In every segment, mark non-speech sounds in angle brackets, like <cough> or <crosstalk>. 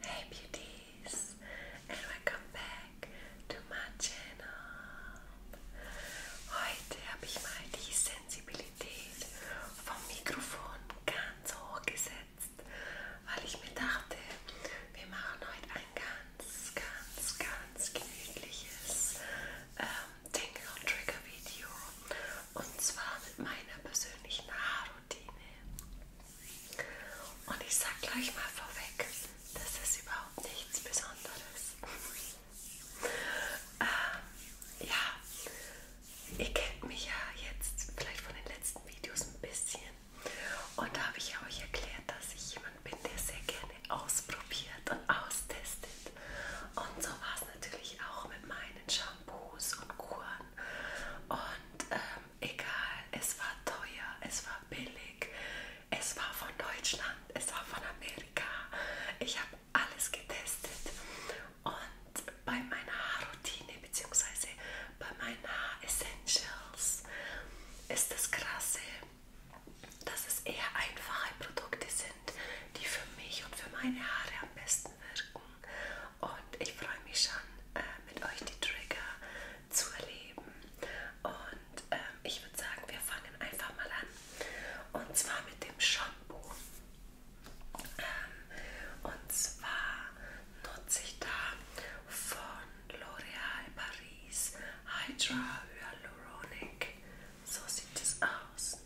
Hey beauties and welcome back to my channel. Heute habe ich mal die Sensibilität vom Mikrofon ganz hoch gesetzt, weil ich mir dachte, wir machen heute ein ganz, ganz, ganz gemütliches ähm, Tingle Trigger Video und zwar mit meiner persönlichen Haarung. Routine. Und ich sag gleich mal vorweg, das ist überhaupt nichts Besonderes. ähm, ja, ihr kennt mich ja jetzt vielleicht von den letzten Videos ein bisschen. Und da habe ich euch erklärt, dass ich jemand bin, der sehr gerne ausprobiert und austestet. Und so war es natürlich auch mit meinen Shampoos und Kuren. Und ähm, egal, es war teuer, es war billig, es war von Deutschland, es war von Amerika. Ich habe alles getestet und bei meiner Haarroutine bzw. bei meinen Haar Essentials ist das Krasse, dass es eher einfache Produkte sind, die für mich und für meine Haare am besten wirken und ich freue mich schon, äh, mit euch die Trigger zu erleben. Und äh, ich würde sagen, wir fangen einfach mal an. Und zwar mit dem Shampoo. Ähm, und zwar nutze ich da von L'Oréal Paris Hydra Hyaluronic. So sieht es aus.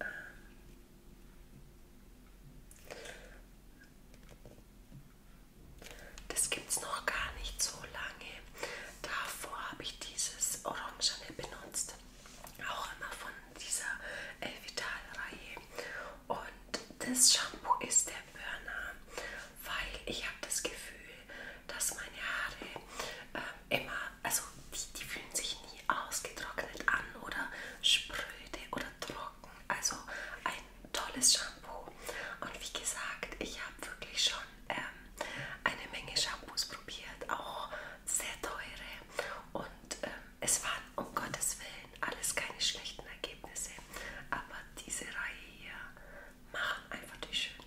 Ähm, das gibt es noch gar nicht so lange. Davor habe ich dieses Orangene benutzt. Auch immer von dieser Elvital-Reihe. Und das Shampoo ist der Burner, weil ich habe das Gefühl, dass meine Haare äh, immer, also die, die fühlen sich nie ausgetrocknet an oder spröde oder trocken trocken. Also ein tolles Shampoo. Und wie gesagt, ich habe wirklich schon ähm, eine Menge Shampoos probiert, auch sehr teure. Und ähm, es waren um Gottes Willen alles keine schlechten Ergebnisse. Aber diese Reihe hier machen einfach die schönsten.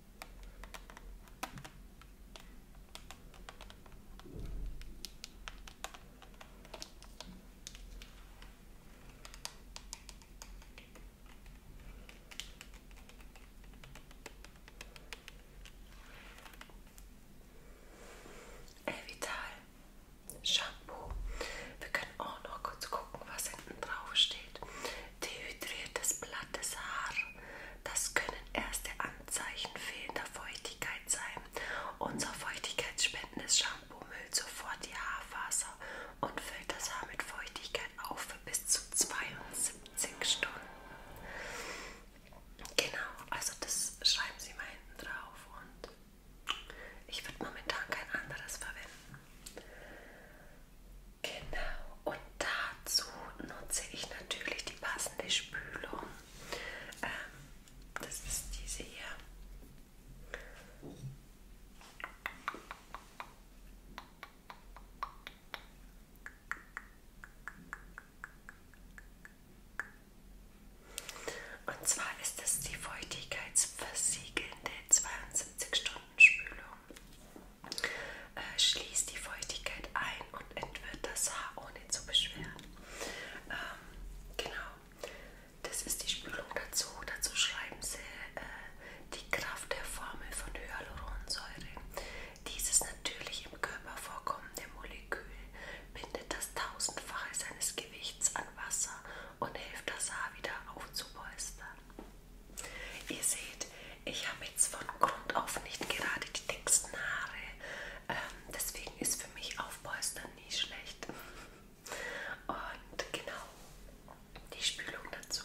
Elvital Shampoo. Wir können auch noch kurz gucken, was hinten drauf steht. Dehydriertes Blatt glattes Haar. Das können erste Anzeichen fehlender Feuchtigkeit sein. Unser feuchtigkeitsspendendes Shampoo müllt sofort die Haarfaser und füllt das Haar mit Feuchtigkeit auf für bis zu 72 Stunden. Genau, also das schreiben Sie mal hinten drauf und ich würde momentan kein anderes verwenden. Genau, und dazu nutze ich natürlich die passende Spülung. Ähm, das ist diese hier. Und zwar ist es die feuchtigkeitsversiegelnde 72-Stunden-Spülung äh, schließt die Feuchtigkeit ein und entwirrt das Haar ohne zu beschweren. Ähm, genau, das ist die Spülung dazu. Dazu schreiben sie äh, die Kraft der Formel von Hyaluronsäure. Dieses natürlich im Körper vorkommende Molekül bindet das Tausendfache seines Gewichts an Wasser und hilft das Haar wieder aufzupolstern. Ihr seht, ich habe jetzt von Grund auf nicht gerade die dicksten Haare. Ähm, deswegen ist für mich Aufpolstern nie schlecht. Und genau, die Spülung dazu.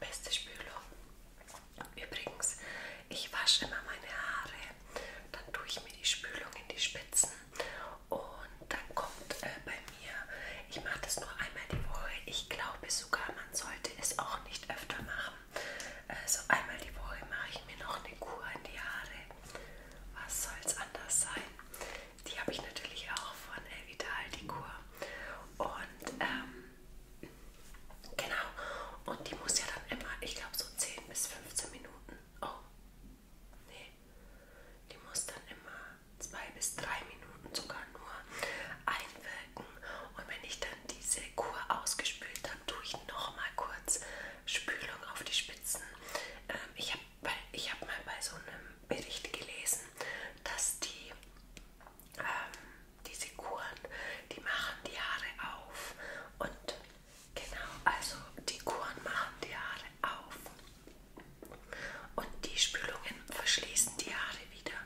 Beste Spülung. Übrigens, ich wasche immer meine Haare, dann tue ich mir die Spülung in die Spitzen und dann kommt äh, bei mir, ich mache das nur einmal die Woche, ich glaube sogar, man sollte es auch nicht öfter machen machen. Also einmal die Woche mache ich mir noch eine Kur in die Haare. Was soll's anders sein? Die habe ich natürlich auch von Elvital, die Kur. Und ähm, genau, und die muss ja dann immer, ich glaube so 10 bis 15 Minuten. Oh, nee, die muss dann immer 2 bis 3 Minuten sogar nur einwirken. Und wenn ich dann diese Kur ausgespült habe, tue ich nochmal kurz Spülung auf die Spitzen. Ähm, ich habe ich hab mal bei so einem Bericht gelesen, dass die ähm, diese Kuren, die machen die Haare auf. Und genau, also die Kuren machen die Haare auf. Und die Spülungen verschließen die Haare Haare wieder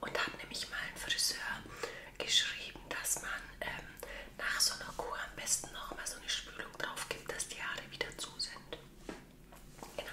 und habe nämlich mal einen Friseur geschrieben, dass man ähm, nach so einer Kur am besten noch mal so eine Spülung drauf gibt, dass die Haare wieder zu sind. Genau.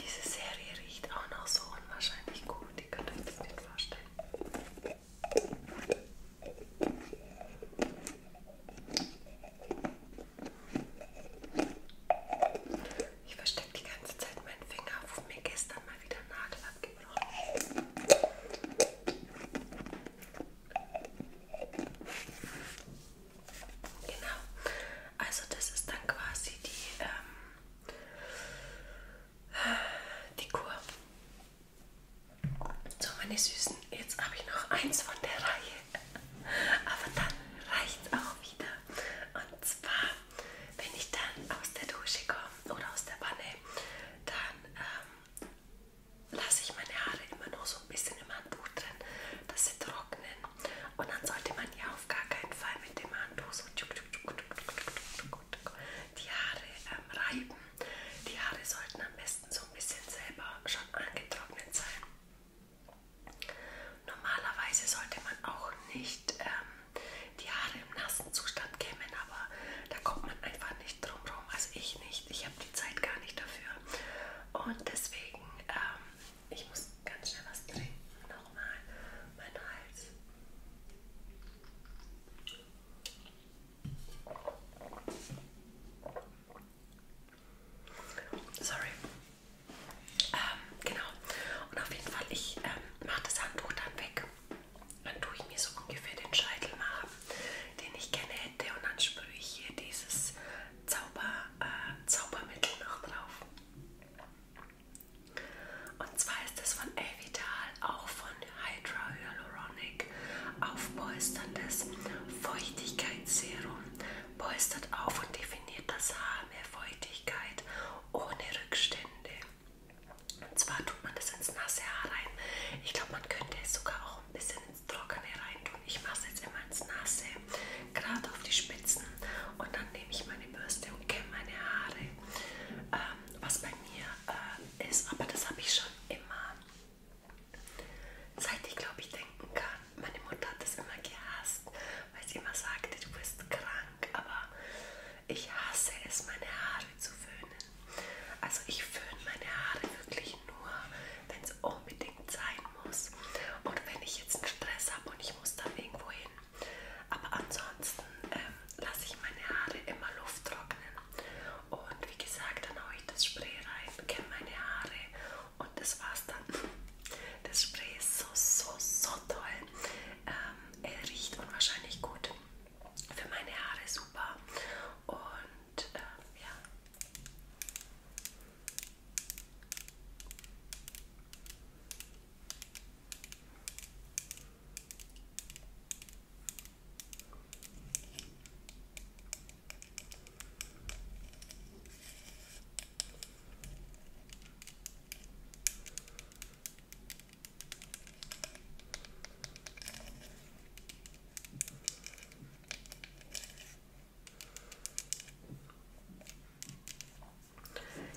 Diese Serie riecht auch noch so unwahrscheinlich gut, die könnt ihr euch das nicht vorstellen. Ich verstecke die ganze Zeit meinen Finger, wo mir gestern mal wieder Nadel abgebrochen Genau. Also das ist dann quasi die, ähm, die Kur. So, meine Süßen, jetzt habe ich noch eins von der Reihe. Aber dann reicht es auch wieder. Und zwar, wenn ich dann aus der Dusche komme oder aus der Wanne, dann ähm, lasse ich meine Haare immer nur so ein bisschen im Handtuch drin, dass sie trocknen. Und dann sollte man ja auf gar keinen Fall mit dem Handtuch so tschuk, tschuk, tschuk, tschuk, tschuk, tschuk, gut die Haare ähm, reiben. Die Haare sollten am besten so ein bisschen selber schon angetrocknet sein. Normalerweise sollte man auch nicht ähm, die Haare im nassen Zustand kämmen, aber da kommt man einfach nicht drum rum. Also ich nicht. Ich habe die Zeit gar nicht dafür. Und deswegen, ähm, ich muss ganz schnell was trinken. Nochmal mein Hals. Sorry. Ähm, genau. Und auf jeden Fall, ich ähm, mache das Handtuch dann weg. Dann tue ich mir so ungefähr den Scheitel machen, den ich gerne hätte. Und dann sprühe ich hier dieses Zauber, äh, Zaubermittel noch drauf. Und zwar ist das von Evital, auch von Hydra Hyaluronic. Augenblick aufpolsterndes Feuchtigkeitsserum polstert auf und definiert das Haar mehr Feuchtigkeit ohne Rückstände. Und zwar tut man das ins nasse Haar rein. Ich glaube, man könnte es sogar auch ein bisschen ins Trockene rein tun. Ich mache es jetzt immer ins Nasse, gerade auf die Spitzen. Und dann nehme ich meine Bürste und kämme meine Haare. Ähm, was bei mir äh, ist, aber das habe ich schon schon immer, seit ich glaube ich denken kann, meine Mutter hat das immer gehasst, weil sie immer sagte, du bist krank, aber ich hasse es, meine Haare zu föhnen. Also ich föhne meine Haare wirklich nur, wenn es unbedingt sein muss und wenn ich jetzt einen Stress habe und ich muss da irgendwo hin. Aber ansonsten äh, lasse ich meine Haare immer Luft trocknen. Und wie gesagt, dann haue ich das Spray rein, kämme meine Haare und das war's dann. <laughs> Das Spray ist so, so, so toll. Ähm, er riecht unwahrscheinlich gut. Für meine Haare super. Und ähm, ja.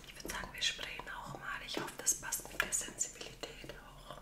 Ich würde sagen, wir sprayen auch mal. Ich hoffe, das passt mit der Sensibilität auch.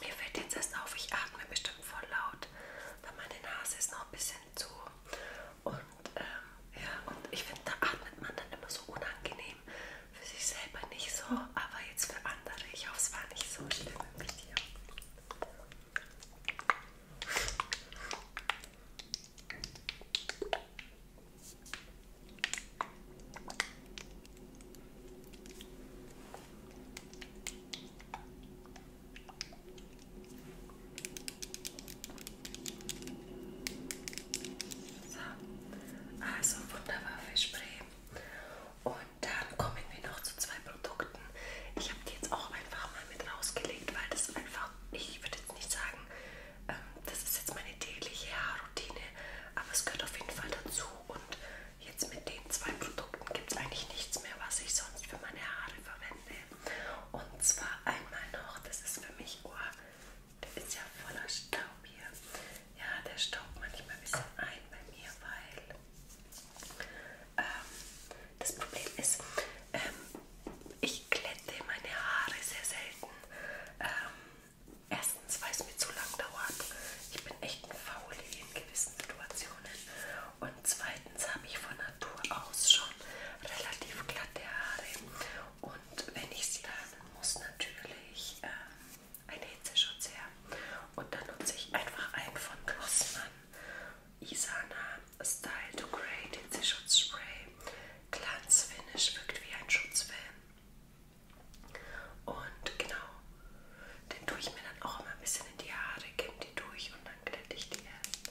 Mir fällt jetzt erst auf, ich atme bestimmt voll laut, weil meine Nase ist noch ein bisschen zu. Und ähm, ja, und ich finde, da atmet man dann immer so unangenehm. Für sich selber nicht so, aber jetzt für andere. Ich hoffe, es war nicht so schlimm mit dir. So, also wunderbar Fischbrei. Und dann kommen wir noch zu zwei Produkten. Ich habe die jetzt auch einfach mal mit rausgelegt, weil das einfach, ich würde jetzt nicht sagen, das ist jetzt meine tägliche Haarroutine, aber es gehört auf jeden Fall dazu. Und jetzt mit den zwei Produkten gibt es eigentlich nichts mehr, was ich sonst für meine Haare verwende. Und zwar einmal noch, das ist für mich, oh, der ist ja voller Staub hier. Ja, der staubt manchmal ein bisschen ein bei mir, weil ähm, das Problem ist, ähm, ich glätte meine Haare sehr selten. Ähm, erstens, weil es mir zu lang dauert. Ich bin echt ein Fauli in gewissen Situationen. Und zweitens habe ich von Natur aus schon relativ glatte Haare. Und wenn ich sie dann muss natürlich ähm, ein Hitzeschutz her. Und dann nutze ich einfach einen von Glossmann. Isana Style to Grey Hitzeschutzspray. Glanzfinish wirkt wie ein Schutzfilm. Und genau, den tue ich mir dann auch immer ein bisschen in die Haare, kimm die durch und dann glätte ich die erst.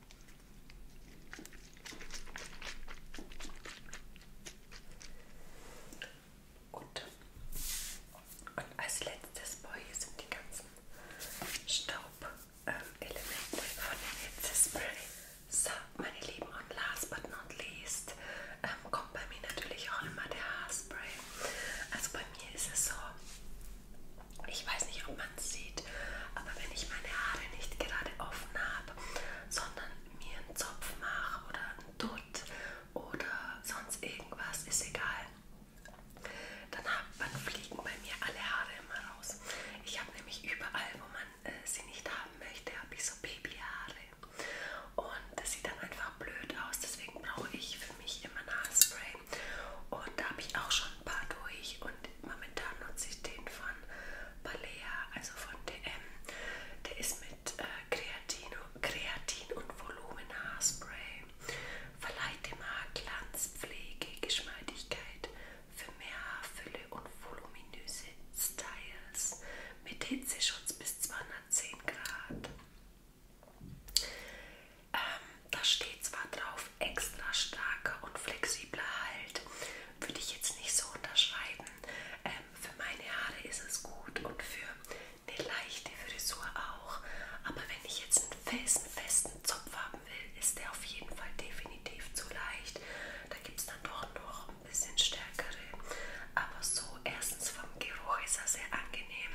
Gut. Und als letztes Boy sind die ganzen Staubelemente ähm, von dem Hitzespray. So, meine Lieben, und last but not least ähm, kommt bei mir natürlich auch immer der Haarspray. Also bei mir ist es so, ich weiß nicht, ob man es sieht, aber wenn ich meine Haare nicht gerade offen habe, habe, sondern mir einen Zopf mache oder einen Dutt oder sonst irgendwas, ist egal. Dann, hab, dann fliegen bei mir alle Haare immer raus. Ich habe nämlich überall, wo man äh, sie nicht haben möchte, habe ich so Babyhaare. Und das sieht dann einfach blöd aus, deswegen brauche ich für mich immer ein Haarspray. Und da habe ich auch schon ein paar durch und momentan nutze ich den von Balea, also von DM. Der ist mit äh, Kreatin, Kreatin und Volumenhaarspray. Verleiht dem Haar Glanz, Pflege, Geschmeidigkeit für mehr Haarfülle und voluminöse Styles. Mit Hitzeschutz bis 210 Grad. Ähm, da steht zwar drauf, extra starker und flexibler Halt würde ich jetzt nicht so unterschreiben. Ähm, für meine Haare ist es gut und für eine leichte Frisur auch. Aber wenn ich jetzt einen festen, festen Zopf haben will, ist der auf jeden Fall definitiv zu leicht. Da gibt es dann doch noch ein bisschen stärkere. Aber so erstens vom Geruch ist er sehr angenehm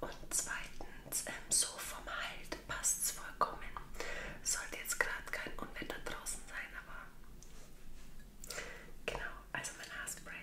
und zweitens ähm, so vom Halt passt es vollkommen. Sollte jetzt gerade kein Unwetter draußen sein, aber Genau, also mein Haarspray.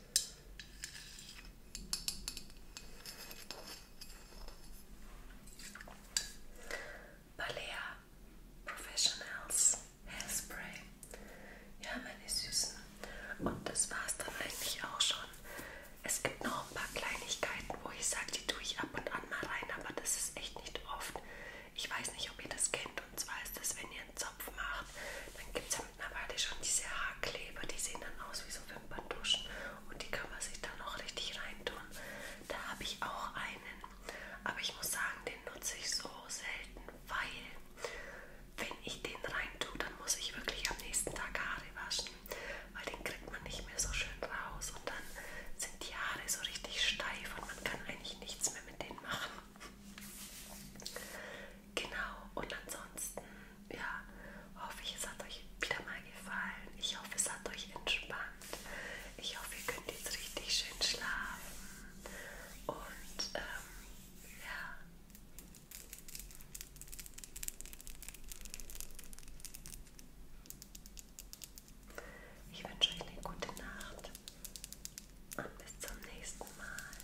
Balea Professionals Hairspray. Ja, meine Süßen. Und das war's dann eigentlich auch schon. Es gibt noch ein paar Kleinigkeiten, wo ich sage, die tue ich ab und an mal rein, aber das ist echt nicht oft. Ich weiß nicht, ob ihr das kennt. Und zwar ist das, wenn ihr einen Zopf macht machen. Dann gibt es ja mittlerweile schon diese Haarkleber, die sehen dann aus wie so Wimperntuschen und die kann man sich dann auch richtig reintun. Da habe ich auch einen, aber ich muss sagen, den nutze ich so selten, weil wenn ich den reintue, dann muss ich wirklich am nächsten Tag Haare waschen, weil den kriegt man nicht mehr so schön raus und dann sind die Haare so richtig steif und man kann eigentlich nichts mehr mit denen machen. Genau, und ansonsten, ja, hoffe ich, es hat euch wieder mal gefallen. Ich hoffe, es hat euch entspannt. Ich hoffe, ihr könnt jetzt richtig schön schlafen. Und, ähm, ja. Ich wünsche euch eine gute Nacht und bis zum nächsten Mal.